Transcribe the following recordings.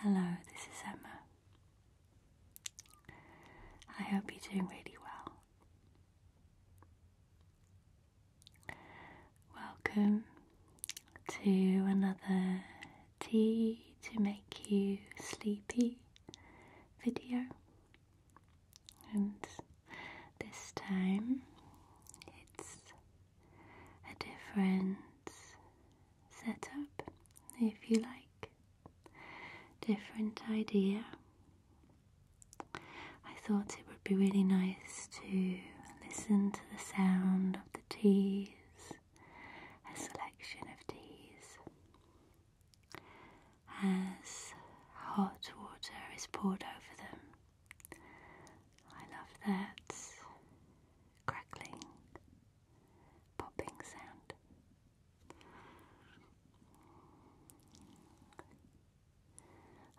Hello, this is Emma. I hope you're doing really well. Welcome to another tea to make you sleepy video. And this time it's a different setup, if you like, different idea. I thought it would be really nice to listen to the sound of the teas, a selection of teas, as hot water is poured over them. I love that crackling, popping sound.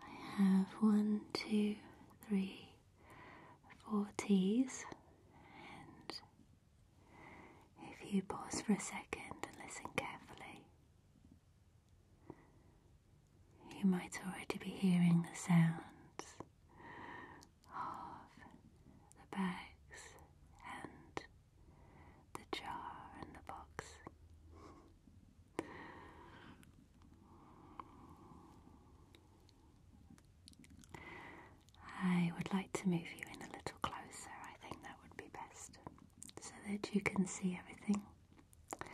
I have one, two, three, four T's, and if you pause for a second and listen carefully, you might already be hearing the sounds of the bags and the jar and the box. I would like to move you in a little closer, I think that would be best, so that you can see everything. But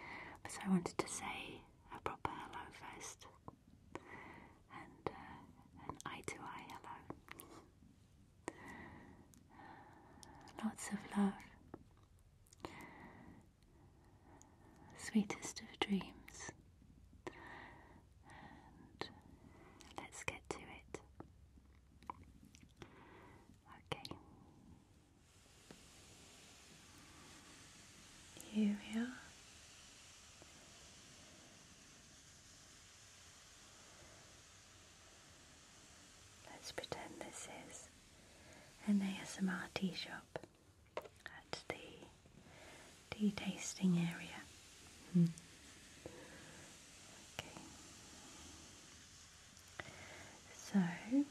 I wanted to say a proper hello first and uh, eye to eye hello. Lots of love. Sweetest of dreams. And let's get to it. Okay. Here we are. Let's pretend this is an ASMR tea shop at the tea tasting area. Hmm. Okay. So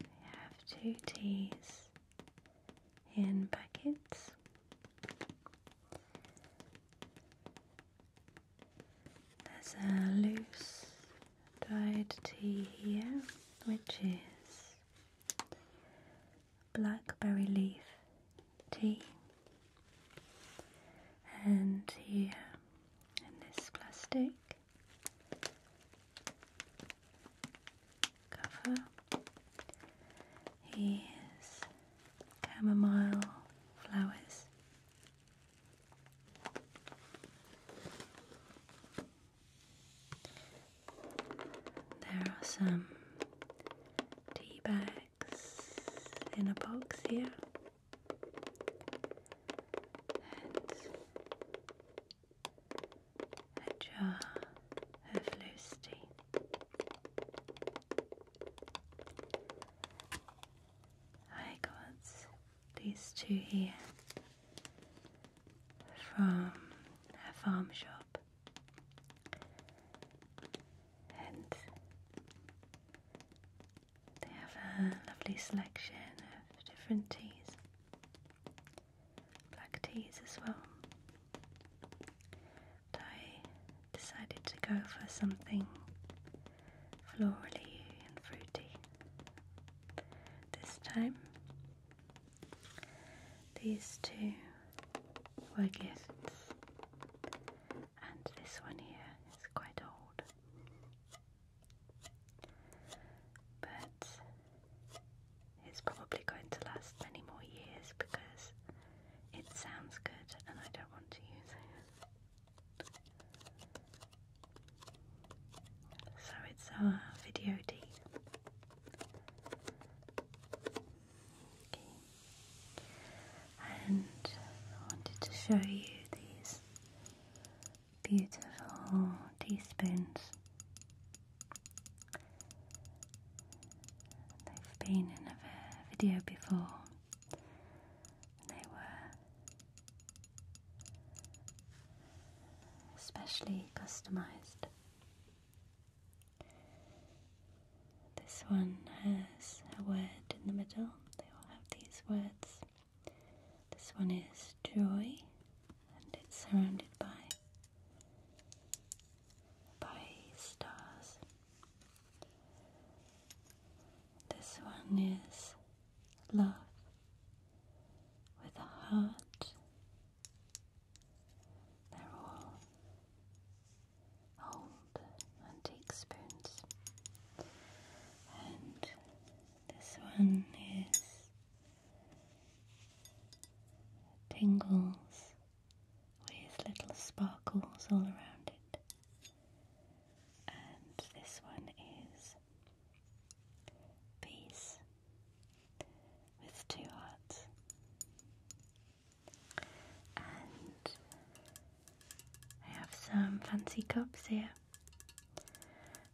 they have two teas in buckets. There's a loose dried tea here, which is blackberry leaf tea and here in this plastic cover is chamomile flowers. There are some tea bags in a box here. And a jar of loose tea. I got these two here from a farm shop, and they have a lovely selection of different teas, black teas as well. I decided to go for something florally and fruity this time. These two were gifts, and this one here is quite old. But it's probably going to last many more years because it sounds good and I don't want to use it. So it's a video D and I wanted to show you these beautiful teaspoons. They've been in a video before. They were specially customized. This one has a word in the middle, they all have these words. This one is joy, and it's surrounded by by stars. This one is love with a heart. They're all home antique spoons. And this one is tingles with little sparkles all around it. And this one is peace with two hearts. And I have some fancy cups here,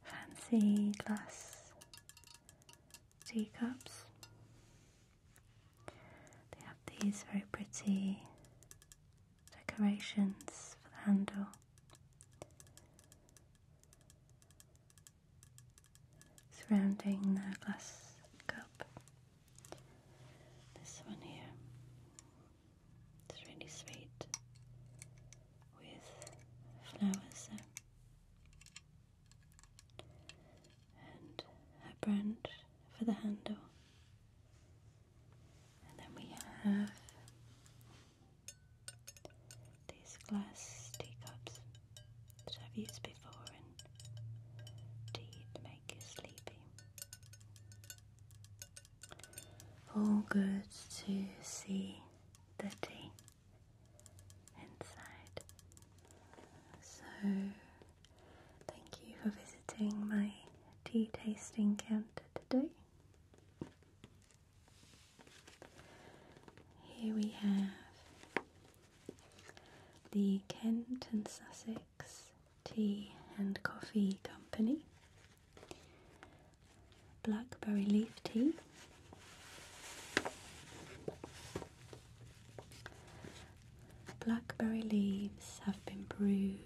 fancy glass teacups. They have these very pretty decorations for the handle. Surrounding the glass cup. This one here. It's really sweet with flowers and a branch for the handle. And then we have these glass teacups that I've used before and tea to make you sleepy all good to see the tea inside. So, thank you for visiting my tea tasting counter today. Here we have the Kent and Sussex Tea and Coffee Company, blackberry leaf tea, blackberry leaves have been brewed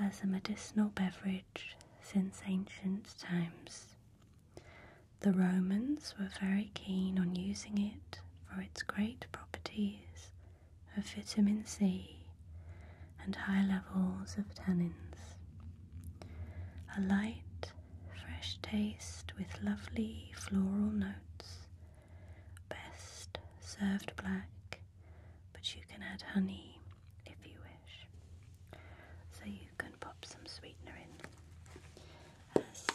as a medicinal beverage since ancient times. The Romans were very keen on using it for its great properties of vitamin C and high levels of tannins. A light, fresh taste with lovely floral notes, best served black, but you can add honey if you wish. So you can pop some sweetener in, as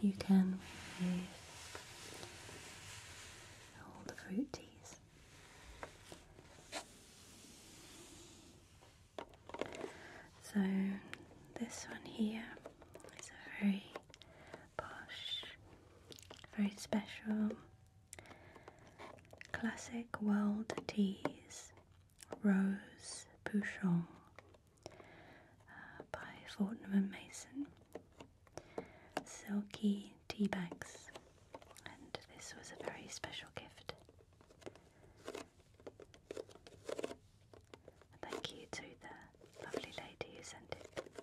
you can with all the fruit teas. So, this one here is a very posh, very special classic world teas, Rose Pouchon uh, by Fortnum and Mason silky tea bags, and this was a very special gift. Thank you to the lovely lady who sent it.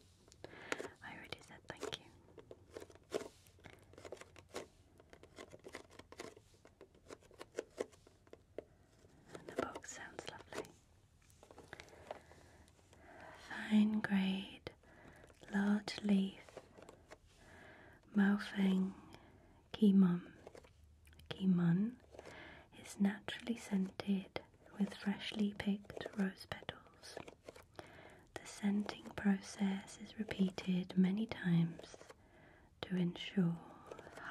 I already said thank you. the box sounds lovely. Fine grade large leaf, Maofeng Kimon. Kimon is naturally scented with freshly picked rose petals. The scenting process is repeated many times to ensure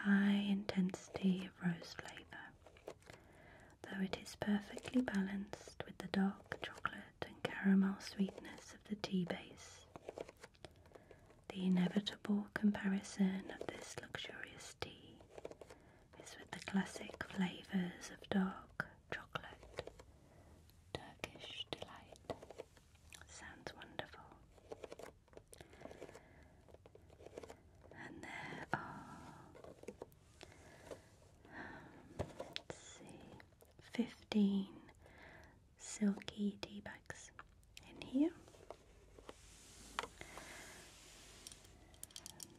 high intensity of rose flavour though it is perfectly balanced with the dark chocolate and caramel sweetness of the tea base. The inevitable comparison of this luxurious tea is with the classic flavours of dark chocolate. Turkish delight. Sounds wonderful. And there are let's see, 15 silky tea bags in here.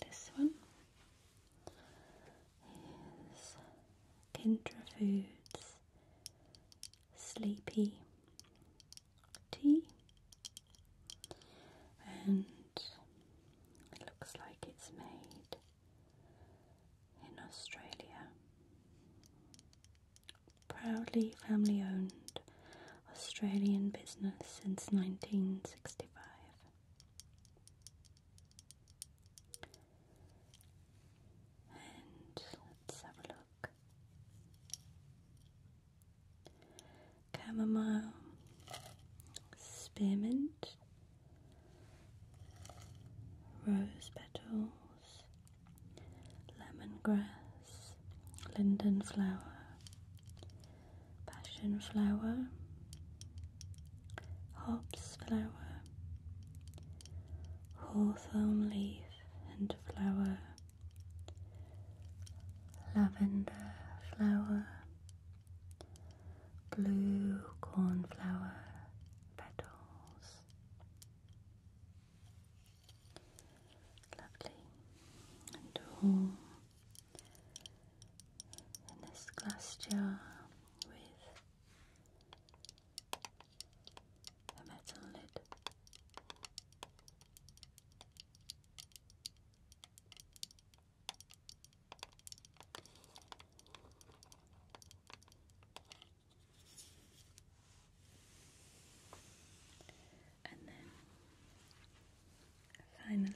this one is Kindra Foods Sleepy Tea. And looks like it's made in Australia. Proudly family owned Australian business since 1965. And let's have a look. Chamomile, spearmint, rose petals, lemon grass, linden flower, passion flower, hops flower, hawthorn leaf and flower, lavender flower, blue cornflower petals. Lovely and warm in this glass jar with a metal lid. And then finally,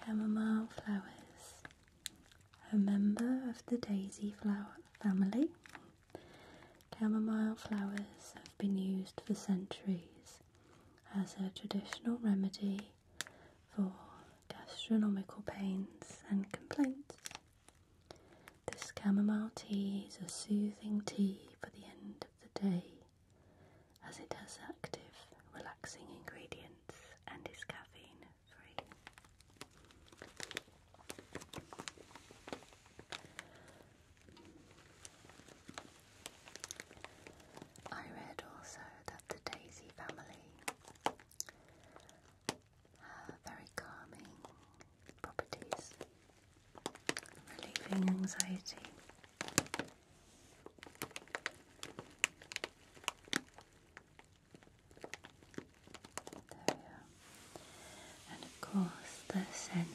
Camomile flowers. A member of the daisy flower family. Chamomile flowers have been used for centuries as a traditional remedy for gastronomical pains and complaints. This chamomile tea is a soothing tea for the end of the day as it has active, relaxing ingredients and is caffeine free. I read also that the Daisy family have very calming properties, relieving anxiety. And of course, the scent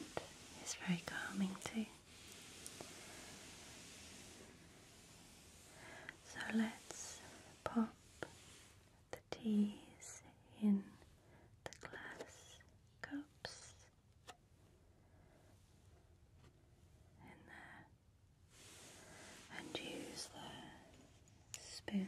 is very calming too. So let's pop the teas in the glass cups in there and use the spoons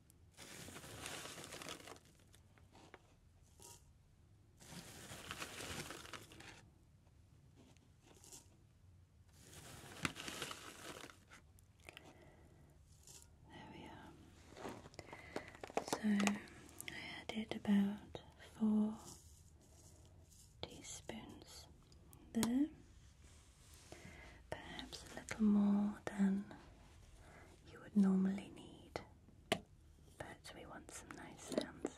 There we are. So I added about four teaspoons there, perhaps a little more than you would normally need. But we want some nice sounds.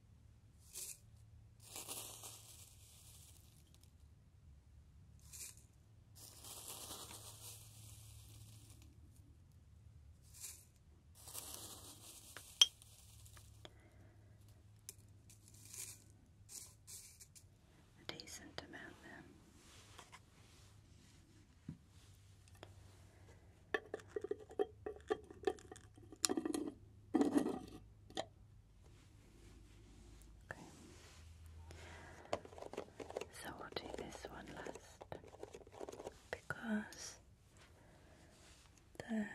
A decent amount then. So do this one last because the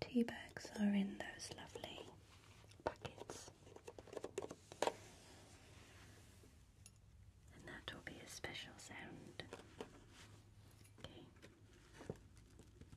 tea bags are in those lovely packets. And that will be a special sound. Okay.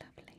Lovely. Okay.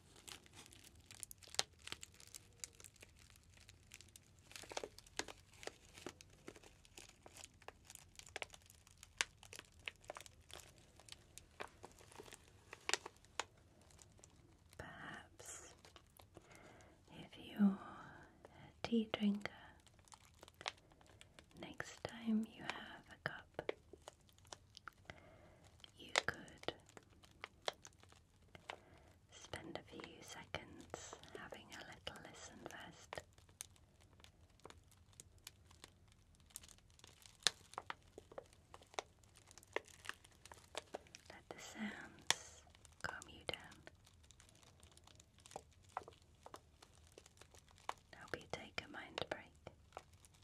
Perhaps if you're a tea drinker, next time you have a cup you could spend a few seconds having a little listen first. Let the sounds calm you down. Help you take a mind break.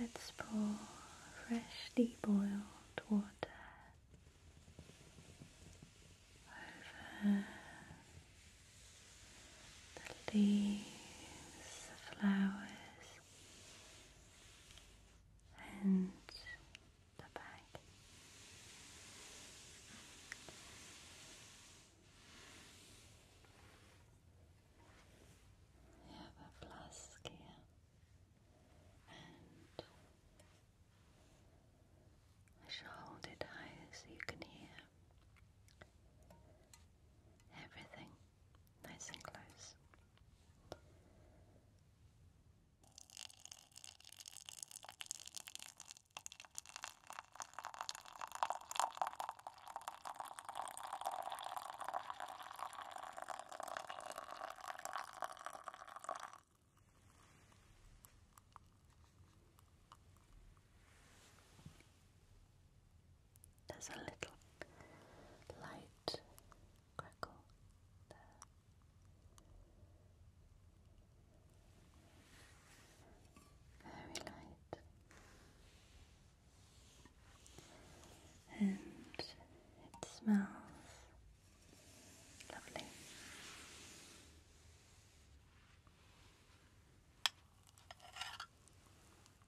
Let's pour freshly boiled water over the leaves, the flowers, and the bag. have a flask here, and I shall hold it high so you can hear everything nice and close. There's a little light crackle there. Very light. And it smells lovely.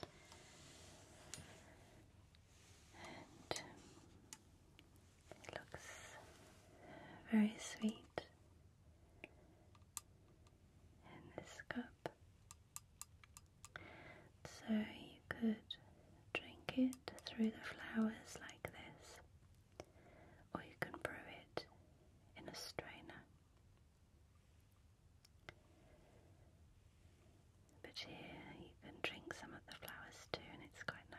it looks very sweet in this cup. So you could drink it through the flowers like this or you can brew it in a strainer. But here you can drink some of the flowers too, and it's quite nice.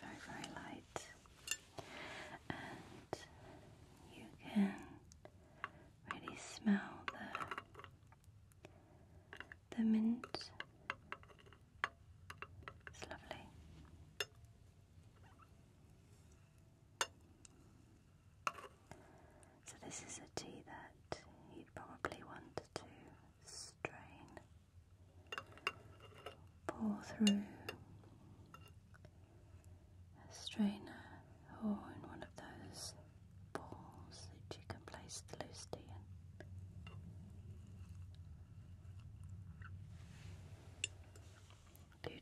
Very, very light, and you can really smell the the mint. It's lovely. So this is a tea that you'd probably want to strain, pour through a strainer or in one of those balls that you can place the loose tea in.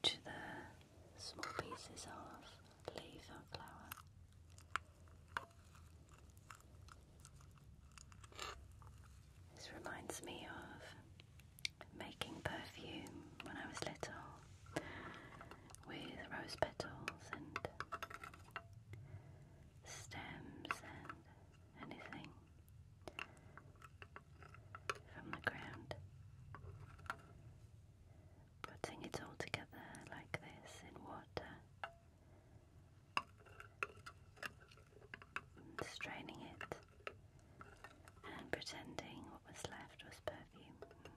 to the small pieces of leaf or flower. This reminds me of making perfume when I was little with rose petals and stems and anything from the ground. Putting it all together like this in water and straining it and pretending what was left was perfume.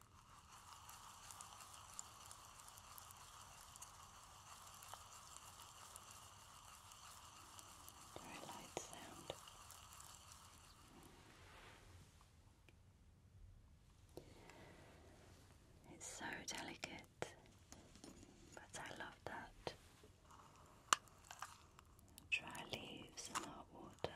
Very light sound. It's so delicate, but I love that. Dry leaves and hot water.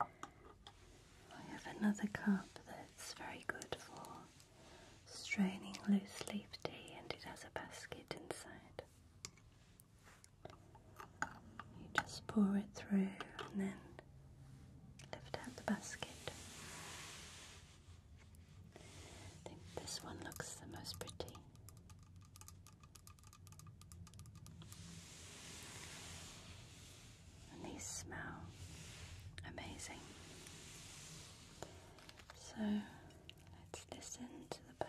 I have another cup that's very good for straining loose leaf tea and it has a basket inside. You just pour it through and then lift out the basket. I think this one looks the most pretty. And these smell amazing. So let's listen to the bag.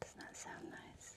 Doesn't that sound nice?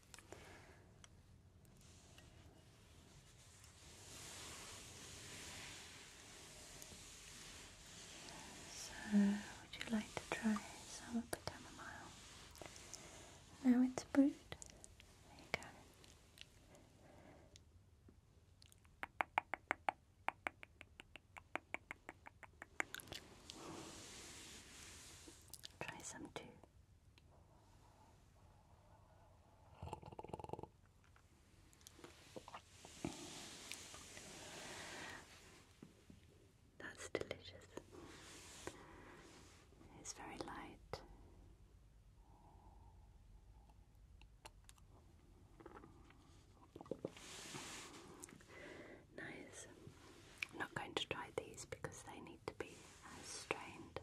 So, would you like to try some of the chamomile? Now it's brewed. There you go. Try some too. That's delicious. It's very light. Nice. not going to try these because they need to be strained.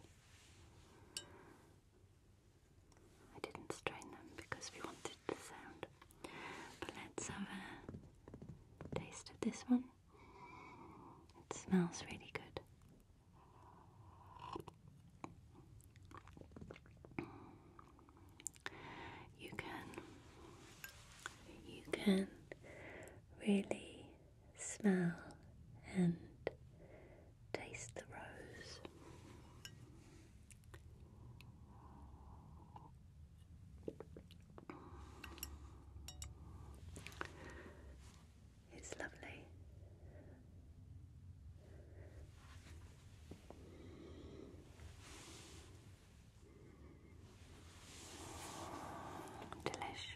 I didn't strain them because we wanted the sound. But let's have a taste of this one. It smells really good. You can you can really smell and taste the rose. It's lovely. Delish.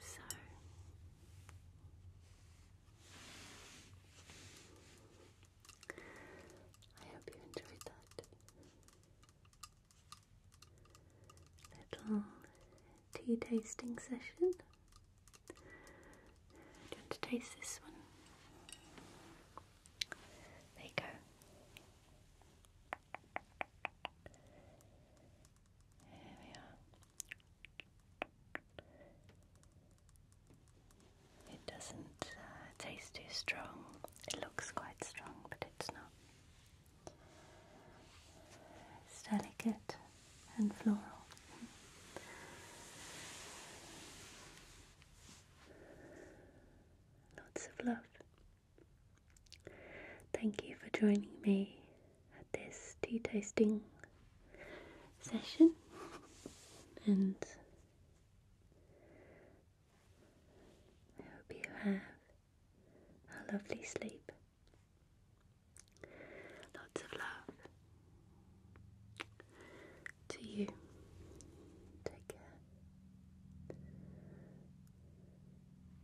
So I hope you enjoyed that little tea tasting session. Do you want to taste this one? There you go. Here we are. It doesn't uh, taste too strong. It looks quite strong, but it's not. It's delicate and floral. Lots of love. Thank you for joining me at this tea tasting session and I hope you have a lovely sleep. Lots of love to you. Take care.